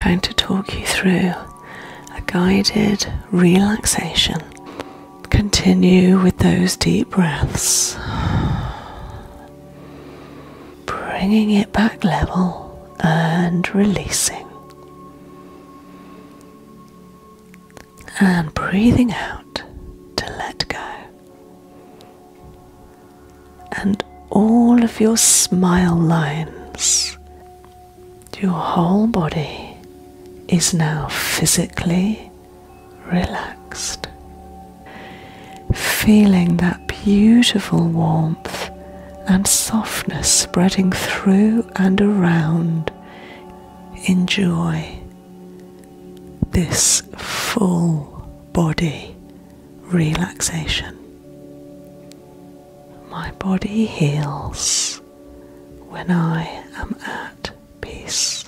I'm going to talk you through a guided relaxation. Continue with those deep breaths, bringing it back level and releasing. And breathing out to let go. And all of your smile lines. Your whole body is now physically relaxed. Feeling that beautiful warmth and softness spreading through and around. Enjoy this full body relaxation. My body heals when I am at peace.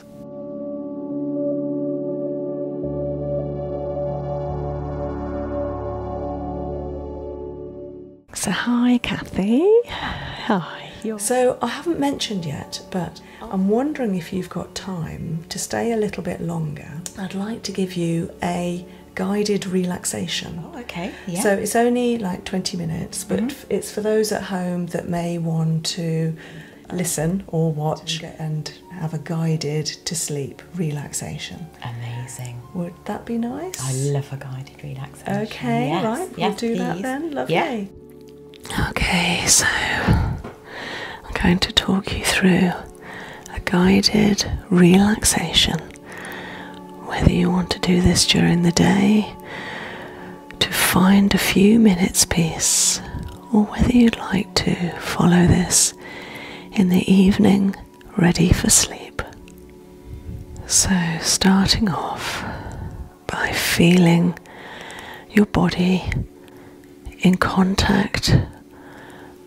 So, hi, Kathy. Hi. So, I haven't mentioned yet, but I'm wondering if you've got time to stay a little bit longer. I'd like to give you a guided relaxation. Oh, okay. Yeah. So it's only like 20 minutes, but mm-hmm. it's for those at home that may want to listen or watch and have a guided to sleep relaxation. Amazing. Would that be nice? I love a guided relaxation. Okay, yes. We'll do that then. Lovely. Yeah. Okay, so I'm going to talk you through a guided relaxation. Whether you want to do this during the day to find a few minutes peace, or whether you'd like to follow this in the evening, ready for sleep. So, starting off by feeling your body in contact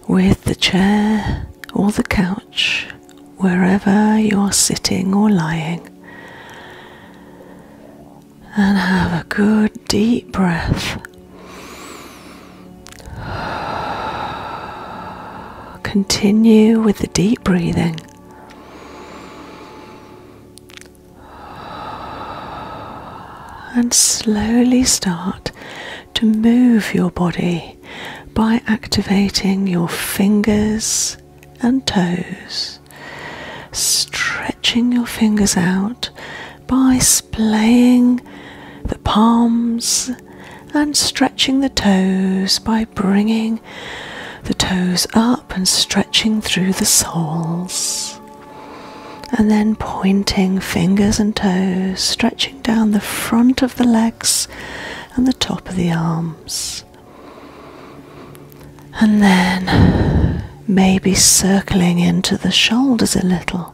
with the chair or the couch, wherever you're sitting or lying. And have a good deep breath. Continue with the deep breathing. And slowly start to move your body by activating your fingers and toes, stretching your fingers out by splaying the palms and stretching the toes by bringing the toes up and stretching through the soles. And then pointing fingers and toes, stretching down the front of the legs and the top of the arms. And then maybe circling into the shoulders a little,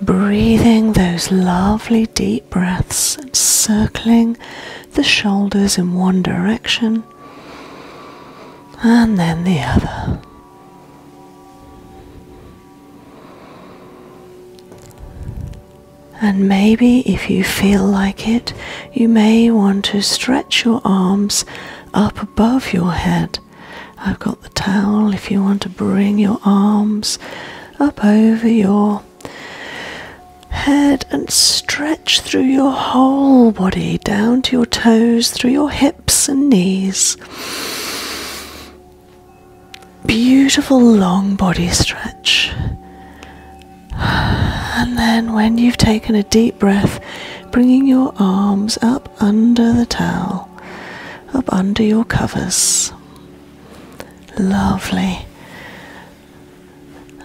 breathing those lovely deep breaths circling the shoulders in one direction and then the other. And maybe if you feel like it, you may want to stretch your arms up above your head. I've got the towel if you want to bring your arms up over your head and stretch through your whole body down to your toes, through your hips and knees. Beautiful long body stretch. And then, when you've taken a deep breath, bringing your arms up under the towel, up under your covers. Lovely.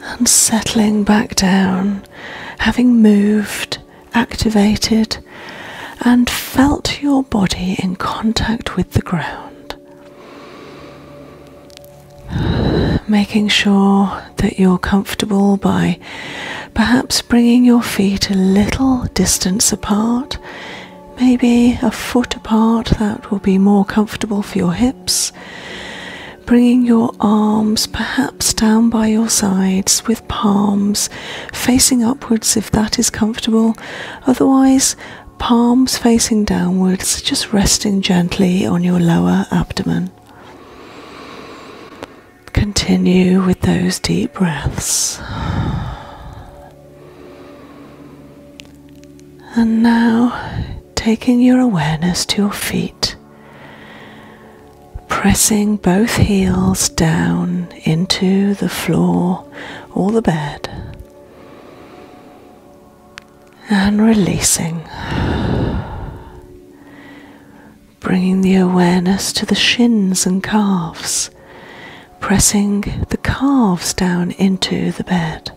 And settling back down, having moved activated and felt your body in contact with the ground, making sure that you're comfortable by perhaps bringing your feet a little distance apart. Maybe a foot apart, that will be more comfortable for your hips. Bringing your arms perhaps down by your sides with palms facing upwards if that is comfortable. Otherwise, palms facing downwards, just resting gently on your lower abdomen. Continue with those deep breaths. And now, taking your awareness to your feet, pressing both heels down into the floor or the bed and releasing. Bringing the awareness to the shins and calves, pressing the calves down into the bed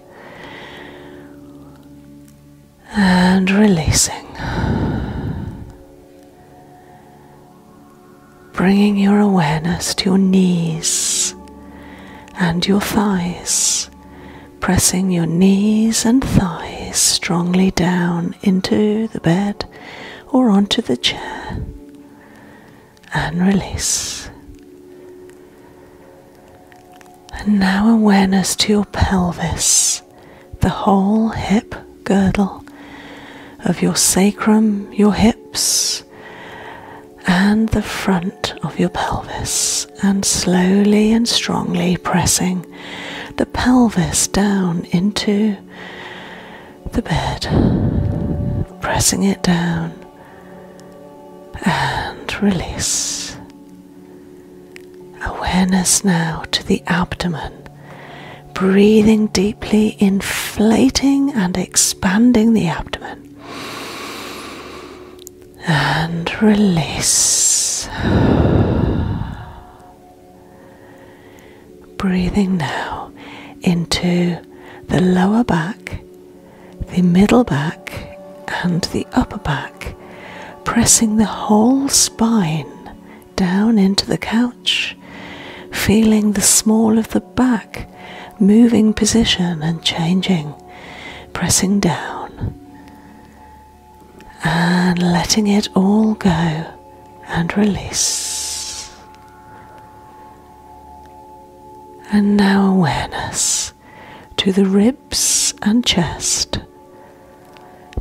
and releasing bringing your awareness to your knees and your thighs, pressing your knees and thighs strongly down into the bed or onto the chair, and release. And now awareness to your pelvis the whole hip girdle of your sacrum, your hips, and the front of your pelvis, and slowly and strongly pressing the pelvis down into the bed, pressing it down and release. Awareness now to the abdomen breathing deeply, inflating and expanding the abdomen. And release. Breathing now into the lower back, the middle back, and the upper back, pressing the whole spine down into the couch, feeling the small of the back moving position and changing, pressing down and letting it all go and release. And now awareness to the ribs and chest,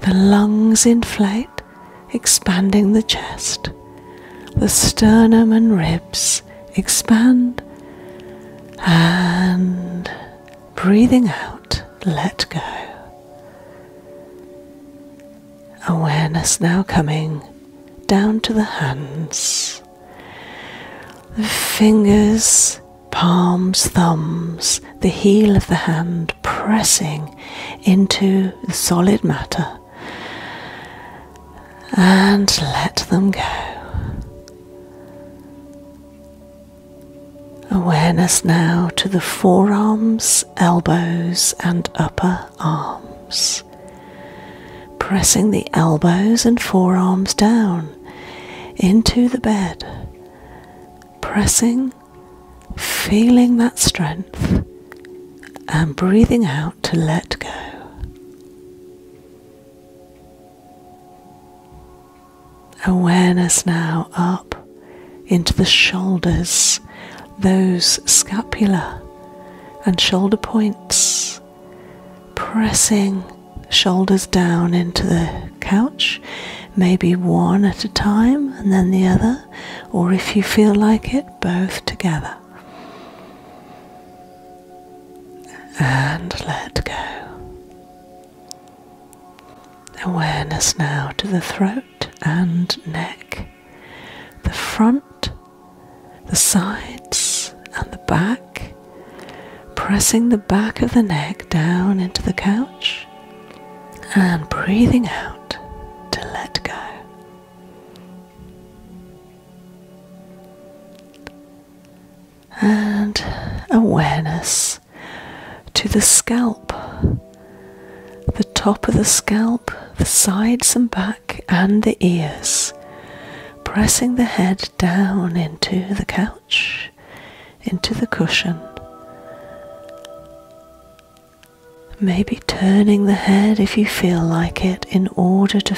the lungs inflate, expanding the chest, the sternum and ribs expand, and breathing out, let go. Awareness now coming down to the hands, the fingers, palms, thumbs, the heel of the hand pressing into the solid matter. And let them go. Awareness now to the forearms, elbows, and upper arms. Pressing the elbows and forearms down into the bed, pressing feeling that strength, and breathing out to let go. Awareness now up into the shoulders, those scapula and shoulder points, pressing shoulders down into the couch, maybe one at a time and then the other or if you feel like it, both together. And let go. Awareness now to the throat and neck, the front, the sides, and the back, pressing the back of the neck down into the couch and breathing out to let go. And awareness to the scalp, the top of the scalp, the sides and back, and the ears, pressing the head down into the couch into the cushion. Maybe turning the head if you feel like it in order to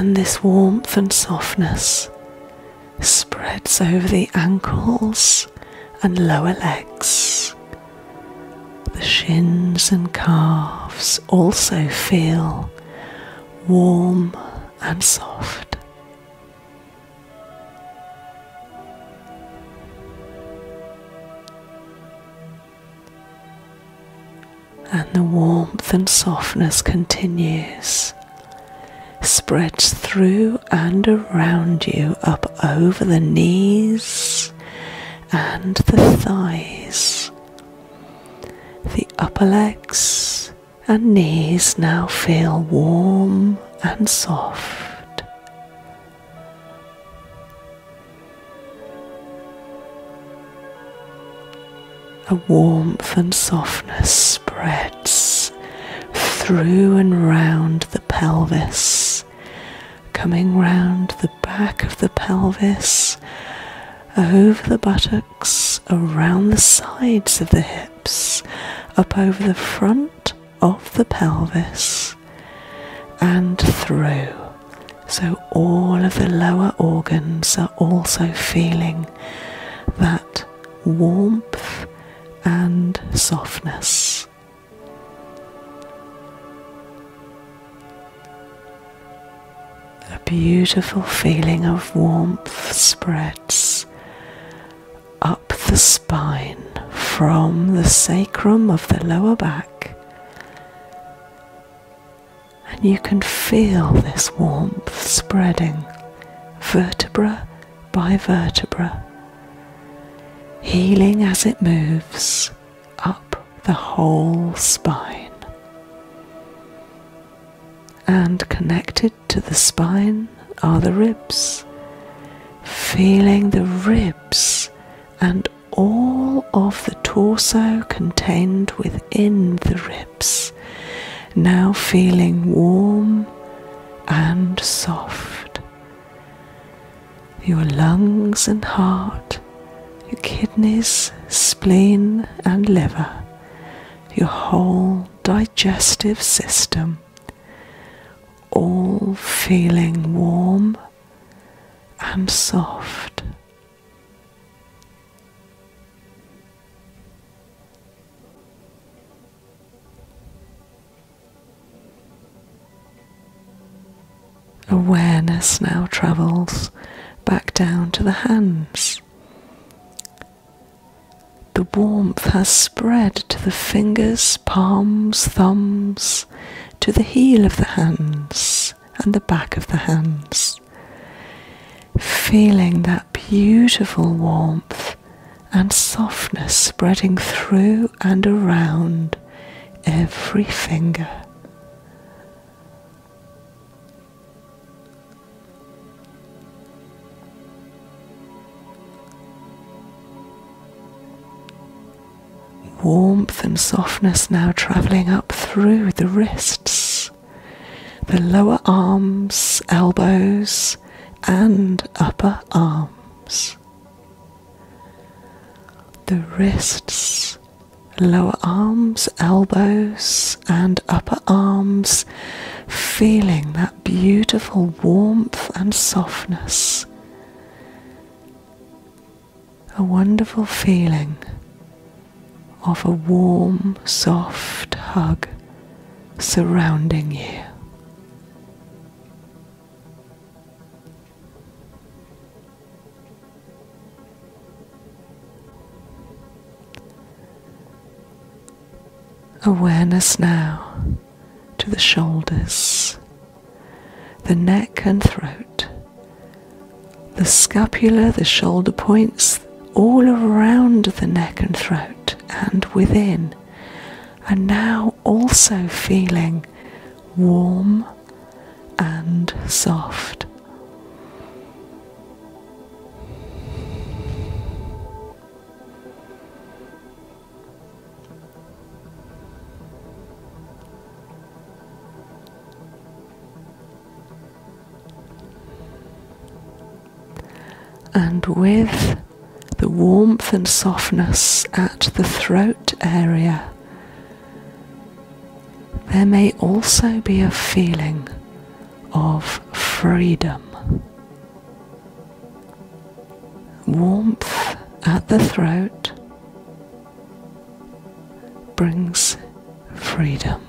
And this warmth and softness spreads over the ankles and lower legs. The shins and calves also feel warm and soft. And the warmth and softness continues, spreads through and around you, up over the knees and the thighs, the upper legs and knees now feel warm and soft. A warmth and softness spreads through and round the pelvis, coming round the back of the pelvis, over the buttocks around the sides of the hips, up over the front of the pelvis, and through. So, all of the lower organs are also feeling that warmth and softness. A beautiful feeling of warmth spreads up the spine from the sacrum of the lower back, and you can feel this warmth spreading vertebra by vertebra, healing as it moves up the whole spine. And connected to the spine are the ribs. Feeling the ribs and all of the torso contained within the ribs, now feeling warm and soft. Your lungs and heart, your kidneys, spleen, and liver your whole digestive system, all feeling warm and soft. Awareness now travels back down to the hands, the warmth has spread to the fingers, palms, thumbs, to the heel of the hands and the back of the hands. Feeling that beautiful warmth and softness spreading through and around every finger. Warmth and softness now travelling up through the wrists, the lower arms, elbows, and upper arms. The wrists lower arms, elbows, and upper arms, feeling that beautiful warmth and softness. A wonderful feeling of a warm, soft hug surrounding you. Awareness now to the shoulders, the neck and throat, the scapula, the shoulder points, all around the neck and throat and within. And now also feeling warm and soft. And with the warmth and softness at the throat area, there may also be a feeling of freedom. Warmth at the throat brings freedom.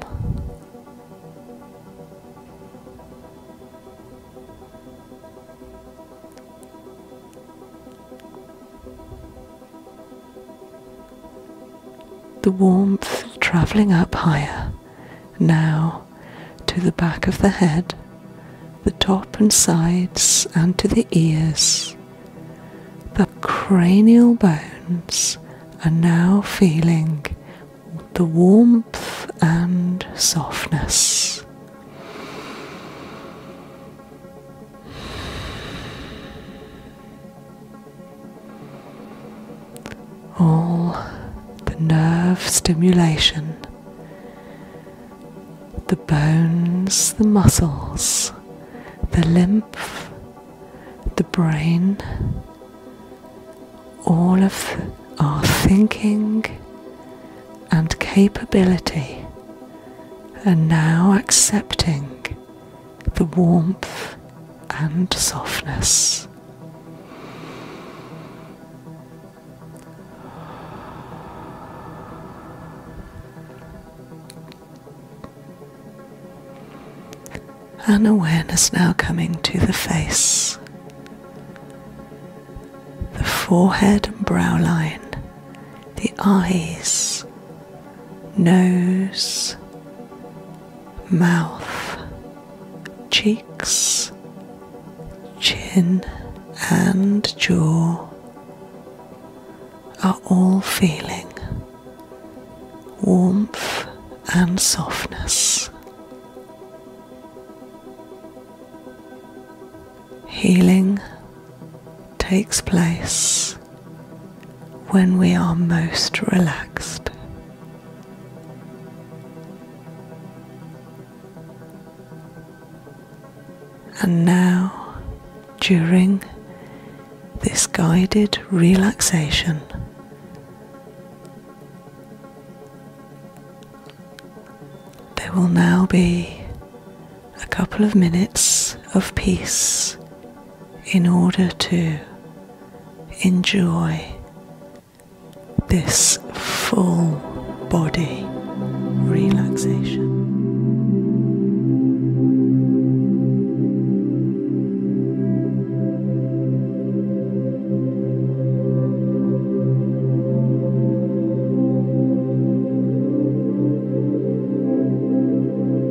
The warmth travelling up higher, now to the back of the head, the top and sides, and to the ears. The cranial bones are now feeling the warmth and softness. All the nerve stimulation, the bones, the muscles, the lymph, the brain, all of our thinking and capability are now accepting the warmth and softness. And awareness now coming to the face, the forehead and brow line, the eyes, nose, mouth, cheeks, chin, and jaw are all feeling warmth and softness. Healing takes place when we are most relaxed. And now, during this guided relaxation, there will now be a couple of minutes of peace in order to enjoy this full body relaxation.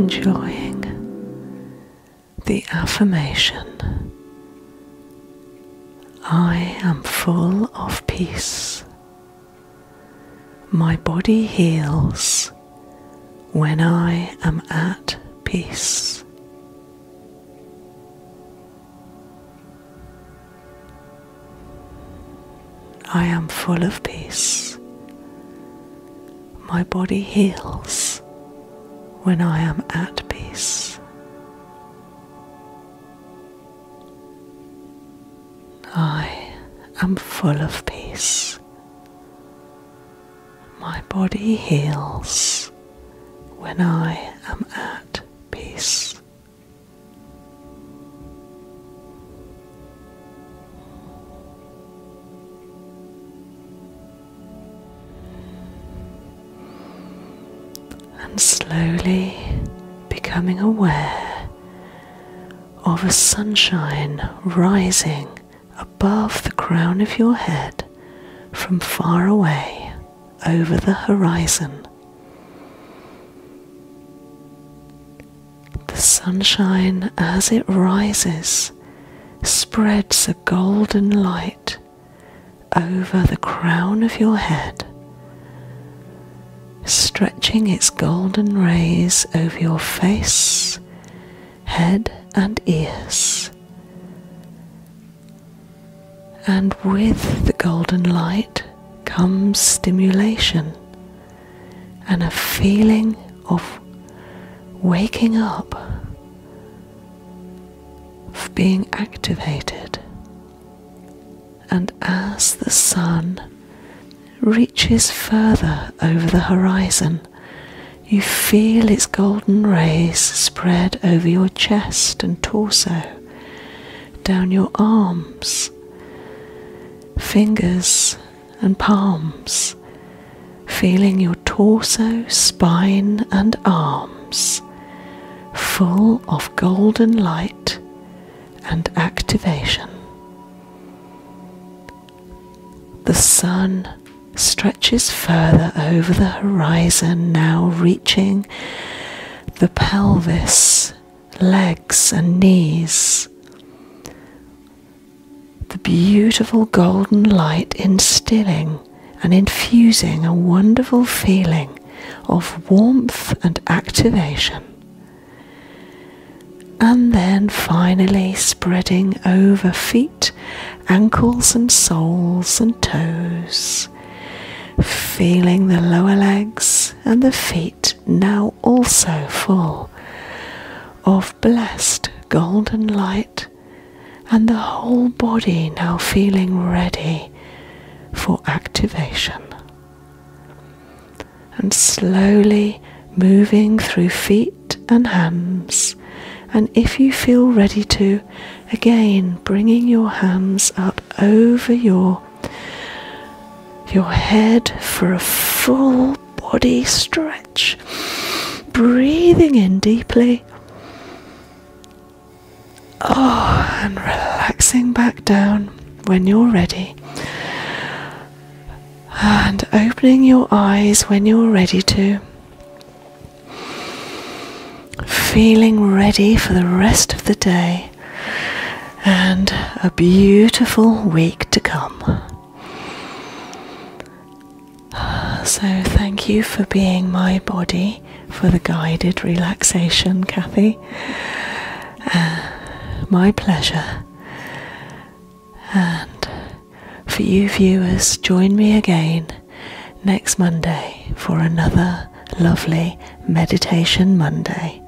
Enjoying the affirmation I am full of peace. My body heals when I am at peace. I am full of peace. My body heals when I am at peace. I am full of peace. My body heals when I am at peace. And slowly becoming aware of a sunshine rising above the crown of your head from far away over the horizon. The sunshine, as it rises, spreads a golden light over the crown of your head, stretching its golden rays over your face, head, and ears. And with the golden light comes stimulation and a feeling of waking up, of being activated. And as the sun reaches further over the horizon, you feel its golden rays spread over your chest and torso, down your arms, fingers, and palms, feeling your torso, spine, and arms full of golden light and activation. The sun stretches further over the horizon, now reaching the pelvis, legs, and knees. The beautiful golden light instilling and infusing a wonderful feeling of warmth and activation. And then finally spreading over feet ankles and soles and toes, feeling the lower legs and the feet now also full of blessed golden light, and the whole body now feeling ready for activation. And slowly moving through feet and hands, and if you feel ready to, again bringing your hands up over your your head for a full body stretch, breathing in deeply. Oh, and relaxing back down when you're ready. And opening your eyes when you're ready to. Feeling ready for the rest of the day and a beautiful week to come. So, thank you for being my body for the guided relaxation, Kathy. Uh, my pleasure. And for you viewers, join me again next Monday for another lovely Meditation Monday.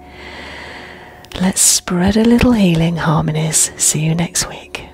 Let's spread a little healing harmonies. See you next week.